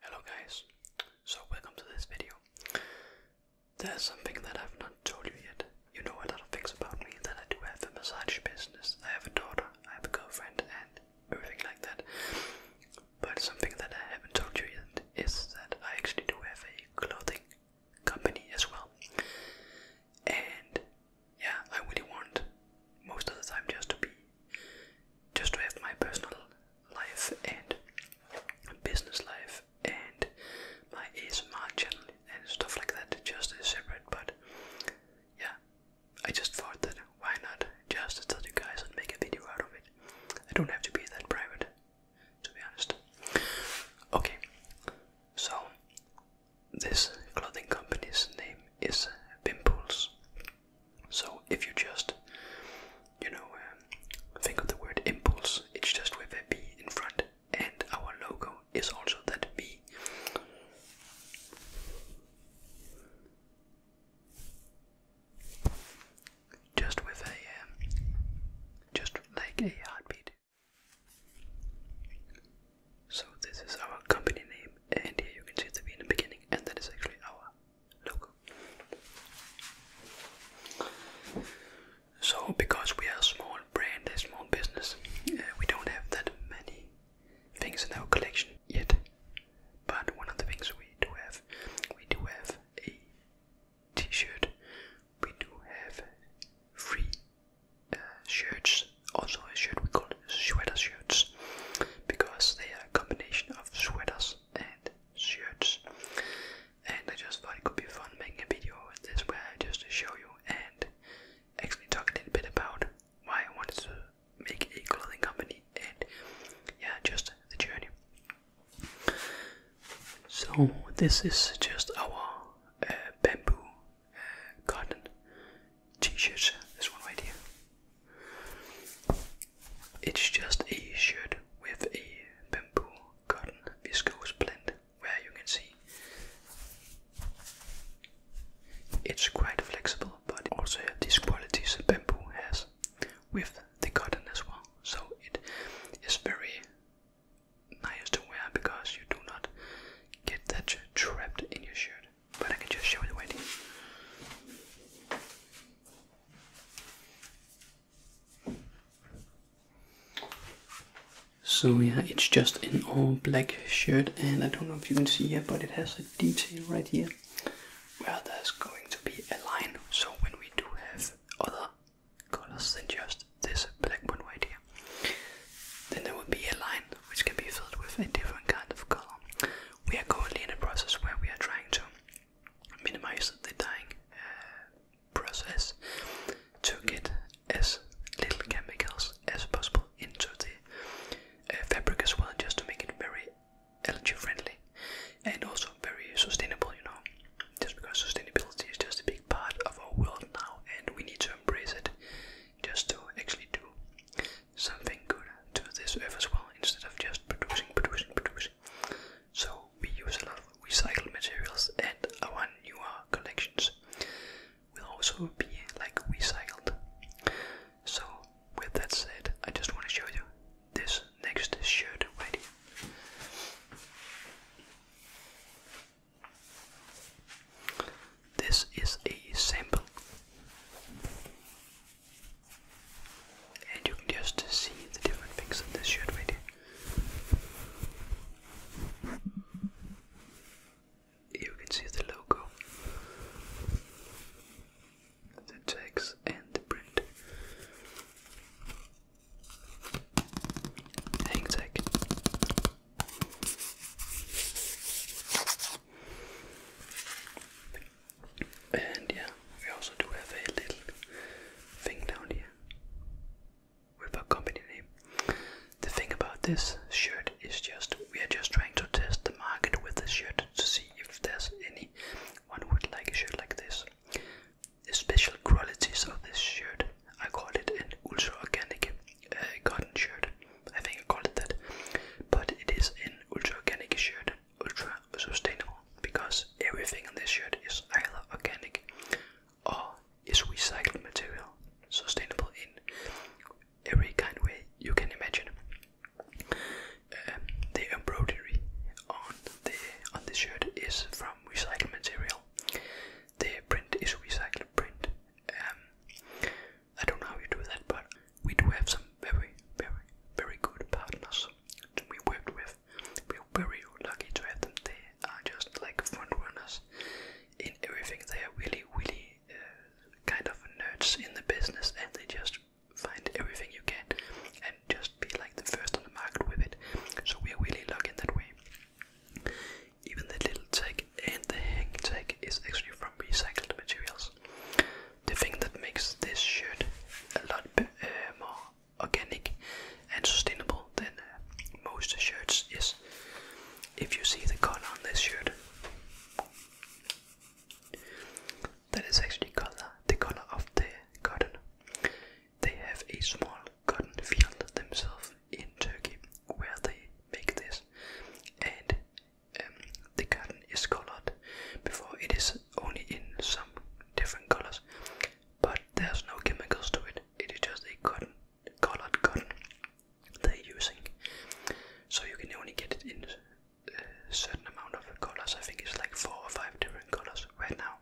Hello guys, so welcome to this video. There's something that I've not told you yet. You know a lot of things about me, that I do have a massage business, I have a daughter, I have a girlfriend and everything like that. But something that I haven't told you yet is that I actually do have a clothing company as well. And yeah, I really want most of the time just to be, just to have my personal life and business life and my ASMR channel and stuff like that just is separate. But yeah, I just thought that why not just tell you guys and make a video out of it. I don't have to be that private, to be honest. Okay, so this clothing company's name is Pimples. So if you just, you know, um, think of the word impulse, it's just with a B in front, and our logo is also that B. Just with a, um, just like a heartbeat. So this is our company name and here you can see it in the beginning and that is actually our logo. So because we are a small brand, a small business, uh, we don't have that many things in our collection yet. But one of the things we do have, we do have a t-shirt, we do have free uh, shirts also a shirt we call it sweater shirts because they are a combination of sweaters and shirts. And I just thought it could be fun making a video with this where I just show you and actually talk a little bit about why I wanted to make a clothing company and yeah, just the journey. So this is just our uh, bamboo garden t-shirts. This one right It's just a shirt with a bamboo cotton viscose blend, where you can see it's quite flexible, but it also have these qualities that bamboo has with the cotton as well. So it is very nice to wear because you do not get that trapped in your shirt but I can just show the wedding. So yeah, it's just an all black shirt and I don't know if you can see here, but it has a detail right here where there's going to be a line. So when we do have other colors than just this black one right here, then there would be a line which can be filled with a different kind of color. We are currently in a process where we are trying to minimize the dyeing uh, process to get as little chemicals as possible into the uh, fabric as well, just to make it very energy friendly and also very sustainable, you know, just because sustainability is just a big part of our world now and we need to embrace it just to actually do something good to this earth as well instead of just producing, producing, producing. So we use a lot of recycled materials and our newer collections will also be like recycled. So with that said, I just want to show you this next shirt right here. This is a sample, and you can just see the different things that this shirt made. you can see the logo, the text, and the print. Hang tag. And yeah, we also do have a little thing down here with a company name. The thing about this shirt is just we are just trying to test the market with this shirt to see if there's anyone who would like a shirt like this. The special qualities of this shirt, I call it an ultra organic uh, cotton shirt. I think I called it that. But it is an ultra organic shirt, ultra sustainable, because everything on this shirt is either organic or is recycled material, sustainable in every kind of way you can imagine. Um, the embroidery on the on the shirt is from recycled material. The print is recycled print. Um, I don't know how you do that, but we do have some very, very, very good partners that we worked with. We're very lucky to have them. They are just like front runners in everything. They are really, really uh, kind of nerds in the business, and they just find everything you can and just be like the first on the market with it. So we are really lucky in that way. Even the little tag and the hang tag is actually from recycled materials. The thing that makes this shirt a lot uh, more organic and sustainable than uh, most shirts is if you see the color on this shirt. That is actually color, the color of the cotton. They have a small cotton field themselves, in Turkey where they make this, and um, the cotton is colored. Before it is only in some different colors, but there's no chemicals to it. It is just a cotton, colored cotton they're using, so you can only get it in a uh, certain amount of colors. I think it's like four or five different colors right now.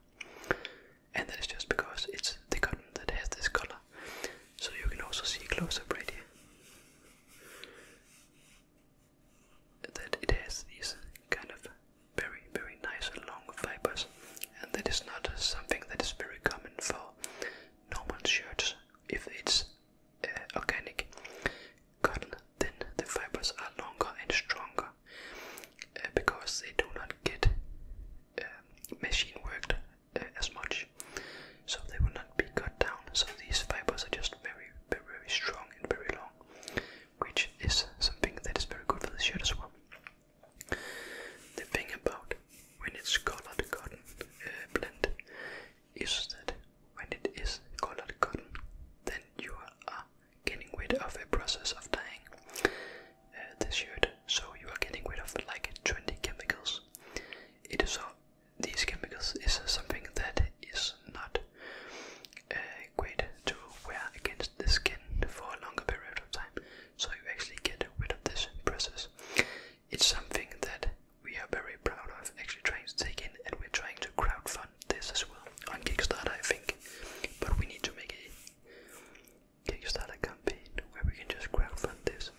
And that is just because it's the cotton that has this color, so you can also see a close up right here that it has these kind of very, very nice long fibers, and that is not something that is very common for normal shirts if it's uh, organic cotton. Then the fibers are longer and stronger uh, because they do not get uh, machine worked uh, as much, so they will not be cut down. So these fibers are just very, very, strong and very long, which is something that is very good for the shirt as well. The thing about when it's colored cotton uh, blend is that when it is colored cotton, then you are getting rid of a process of dyeing uh, the shirt, so you are getting rid of like 20 chemicals it is all, these chemicals is something that is not uh, great to wear against the skin for a longer period of time. So you actually get rid of this process. It's something that we are very proud of actually trying to take in and we're trying to crowd fund this as well on Kickstarter I think. But we need to make a Kickstarter campaign where we can just crowdfund this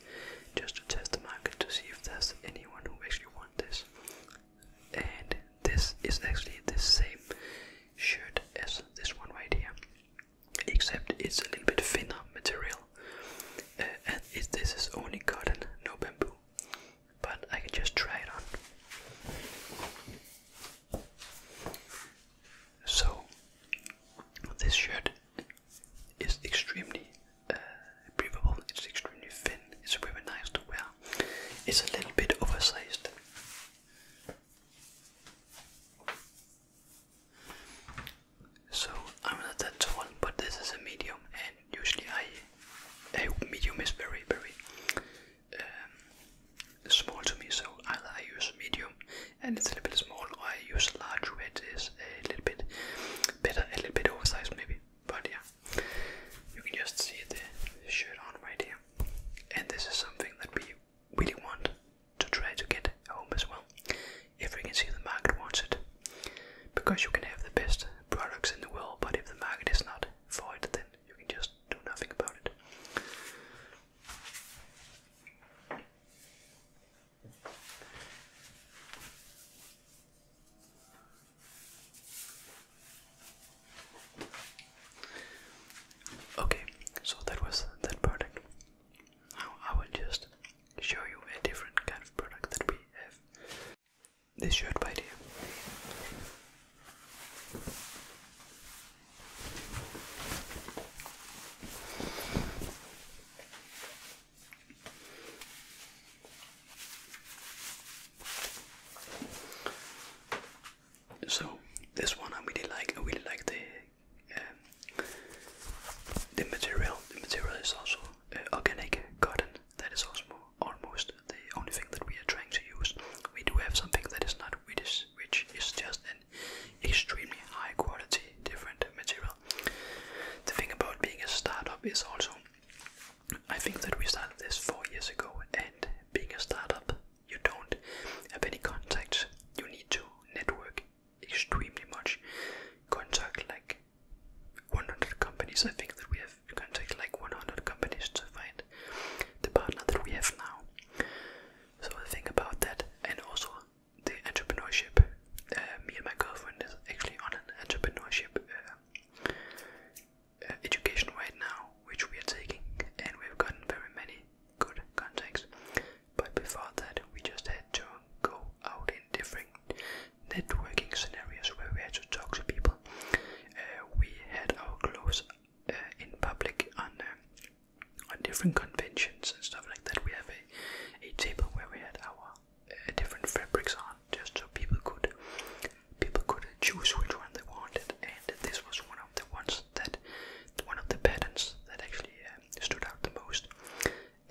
just to test the market to see if there's anyone who actually wants this. And this is actually the same shirt as this one right here, except it's a little bit thinner material. Uh, and this is only cotton, no bamboo. But I can just try it on. So, this shirt is extremely uh, breathable, it's extremely thin, it's really nice to wear. It's a little bit oversized. So I'm not that tall, but this is a medium, and usually I, a medium is very, very um, small to me. So I, I use medium, and it's a little bit small. I use a large red It is a little bit better, a little bit oversized maybe, but yeah, you can just see the shirt on right here. And this is something that we really want to try to get home as well, if we can see the market wants it, because you can have the best products in the world, but if the market is not for it, then you can just do nothing about it. Okay, so that was that product. Now I will just show you a different kind of product that we have. This shirt by dear. So this one I really like. I really like the um, the material. The material is also uh, organic cotton. That is also almost the only thing that we are trying to use. We do have something that is not which is, which is just extremely high quality different material. The thing about being a startup is also, I think that we started this four years ago, and being a startup, you don't have any contacts. You need to network extremely much. Contact like 100 companies. I think that we have contact like 100 companies to find the partner that we have now. So think about that, and also the entrepreneurship. Uh, me and my girlfriend is actually on an entrepreneurship uh, uh, education right now, which we are taking, and we've gotten very many good contacts. But before that, we just had to go out in different networking scenarios where we had to talk to people. we had our clothes in public on on different conventions and stuff like that, we have a, a table where we had our uh, different fabrics on, just so people could people could choose which one they wanted, and this was one of the ones that one of the patterns that actually uh, stood out the most,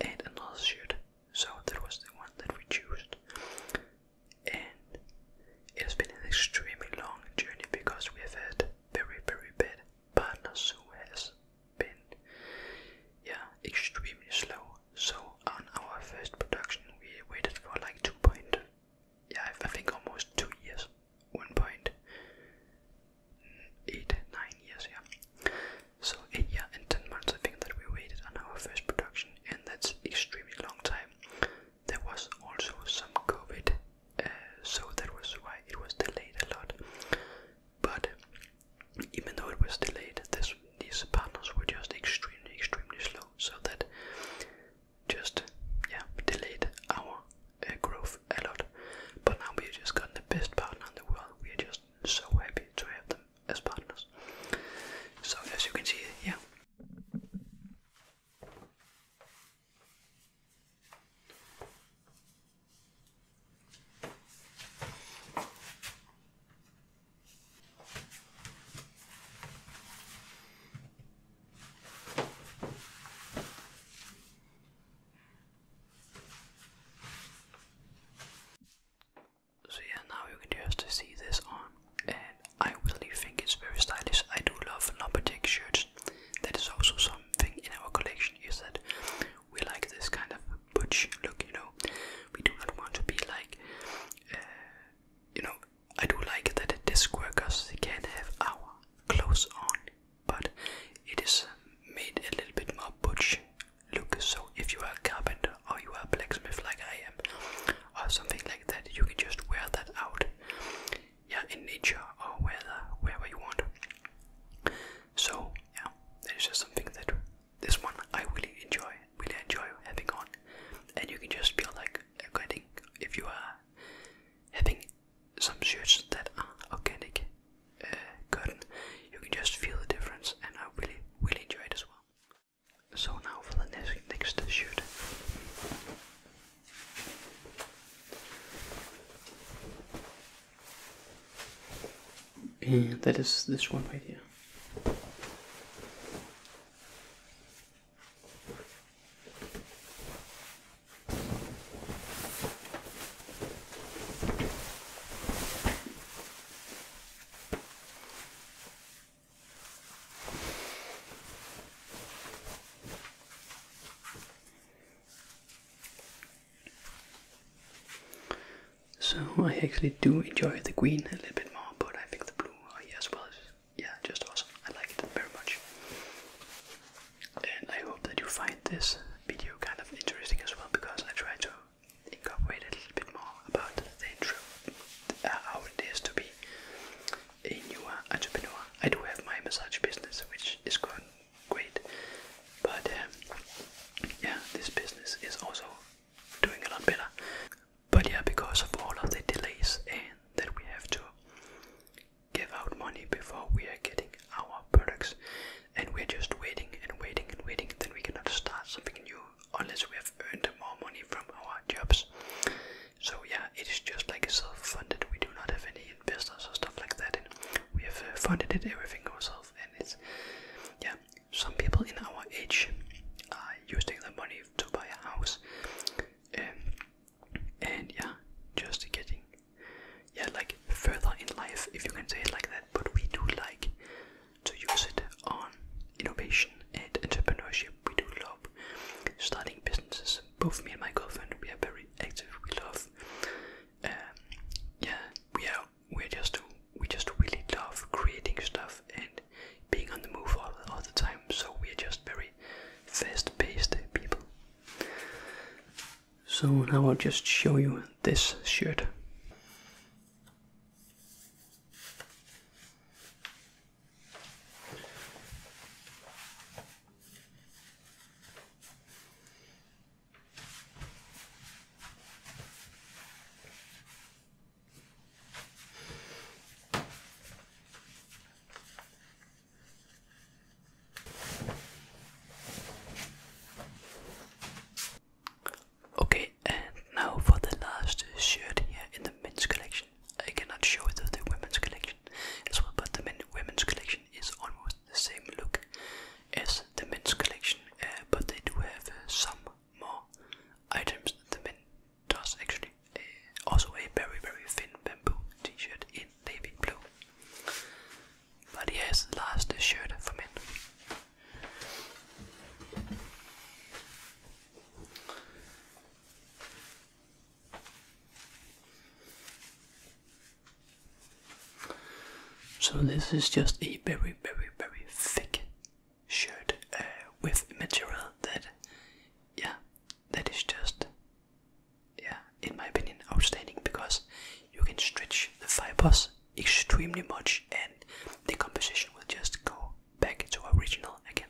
and another shirt. So that was the one that we chose, and it has been an extremely long journey because we have had very very bad partners who has yeah extremely slow. So on our first production, we waited for like two point, yeah, I think almost two years, one point eight nine years, yeah. So eight year and ten months, I think that we waited on our first production, and that's extremely long time. There was also some COVID uh, so that was why it was delayed a lot. But even though it was delayed, this, these partners were just extremely, extremely slow, so that just yeah delayed our uh, growth a lot. But now we just got the best partner in the world. We are just so happy to have them as partners. So as you can see, yeah. So yeah, now you can just see this on, and I really think it's very stylish. I do love lumberjack shirts. That is also some something in our collection is that we like this kind of butch look, you know. We do not want to be like, uh, you know, I do like that the disc workers can have our clothes on, but it is uh, made a little bit more butch look. So if you are a carpenter or you are a blacksmith like I am, or something like that, you can just wear that out yeah, in nature or whether wherever you want. So yeah, that is just something that this one I really enjoy, really enjoy having on, and you can just feel like organic if you are having some shirts that are organic cotton. Uh, you can just feel the difference, and I really, really enjoy it as well. So now for the next next shirt. And that is this one right here. So I actually do enjoy the green a little bit more, but I think the blue oh yeah, is yeah, just awesome. I like it very much. And I hope that you find this video kind of interesting as well because I try to incorporate a little bit more about the intro, uh, how it is to be a newer entrepreneur. I do have my massage business which is good great. But um, yeah, this business is also doing a lot better. But yeah, because of all of the delays and that we have to give out money before we are getting our products, and we're just waiting and waiting and waiting, then we cannot start something new unless we have earned more money from our jobs. So yeah, it is just like self-funded. We do not have any investors or stuff like that. And we have uh, funded it everything ourselves, and it's yeah. Some people in our age are using the money to buy a house, um, and yeah, just getting yeah like further in life if you can say it like that. But we do like to use it on innovation and entrepreneurship. We do love starting businesses both me and my girlfriend, we are very active. We love, um, yeah, we are. We're just, we just really love creating stuff and being on the move all, all the time. So we're just very fast-paced people. So now I'll just show you this shirt. Okay, and now for the last shirt here in the men's collection. I cannot show it in the women's collection put them in the women's collection collection is almost the same look as the men's collection, uh, but they do have uh, some more items that the men does actually. Uh, also a very very thin bamboo t-shirt in navy blue. But yes, last shirt for men. So this is just a very, very, very thick shirt uh, with material that, yeah, that is just, yeah, in my opinion, outstanding because you can stretch the fibers extremely much and the composition will just go back to original again.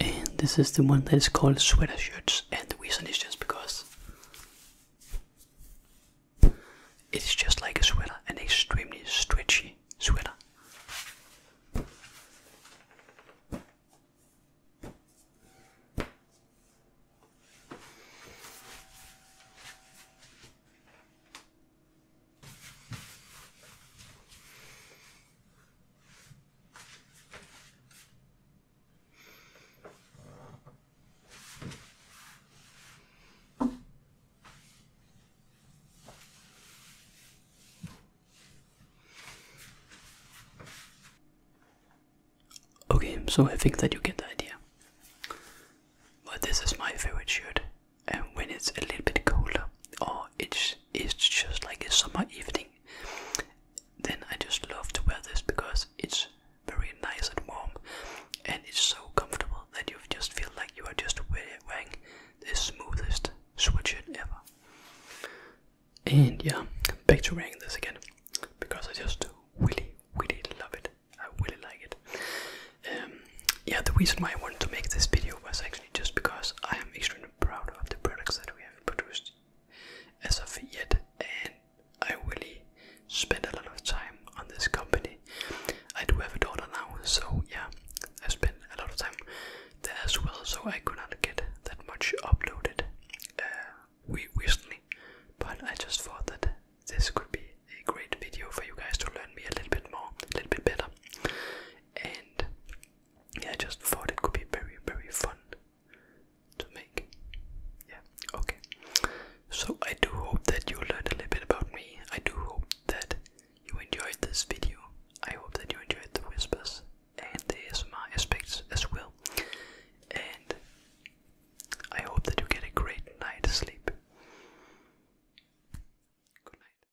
And this is the one that is called sweater shirts, and the reason is just because it's just like a sweater, an extremely stretchy sweater. Okay, so I think that you get the idea. But this is my favorite shirt and when it's a little bit colder or it's it's just like a summer evening then I just love to wear this because it's very nice and warm and it's so comfortable that you just feel like you are just wearing the smoothest sweatshirt ever. And yeah, back to wearing this again because I just really really love it. I really like it. Um, yeah, the reason why I wanted to make this video was actually just because I am extremely proud of the products that we have produced as of yet, and I really spend a lot of time on this company. I do have a daughter now, so yeah, I spend a lot of time there as well, so I could not get that much uploaded uh, recently, but I just thought that this could be a great video for you guys to learn me a little bit more, a little bit better. And yeah, I just thought it could be very, very fun to make. Yeah, okay. So I do hope that you learned a little bit about me. I do hope that you enjoyed this video. I hope that you enjoyed the whispers and the ASMR aspects as well. And I hope that you get a great night's sleep. Good night.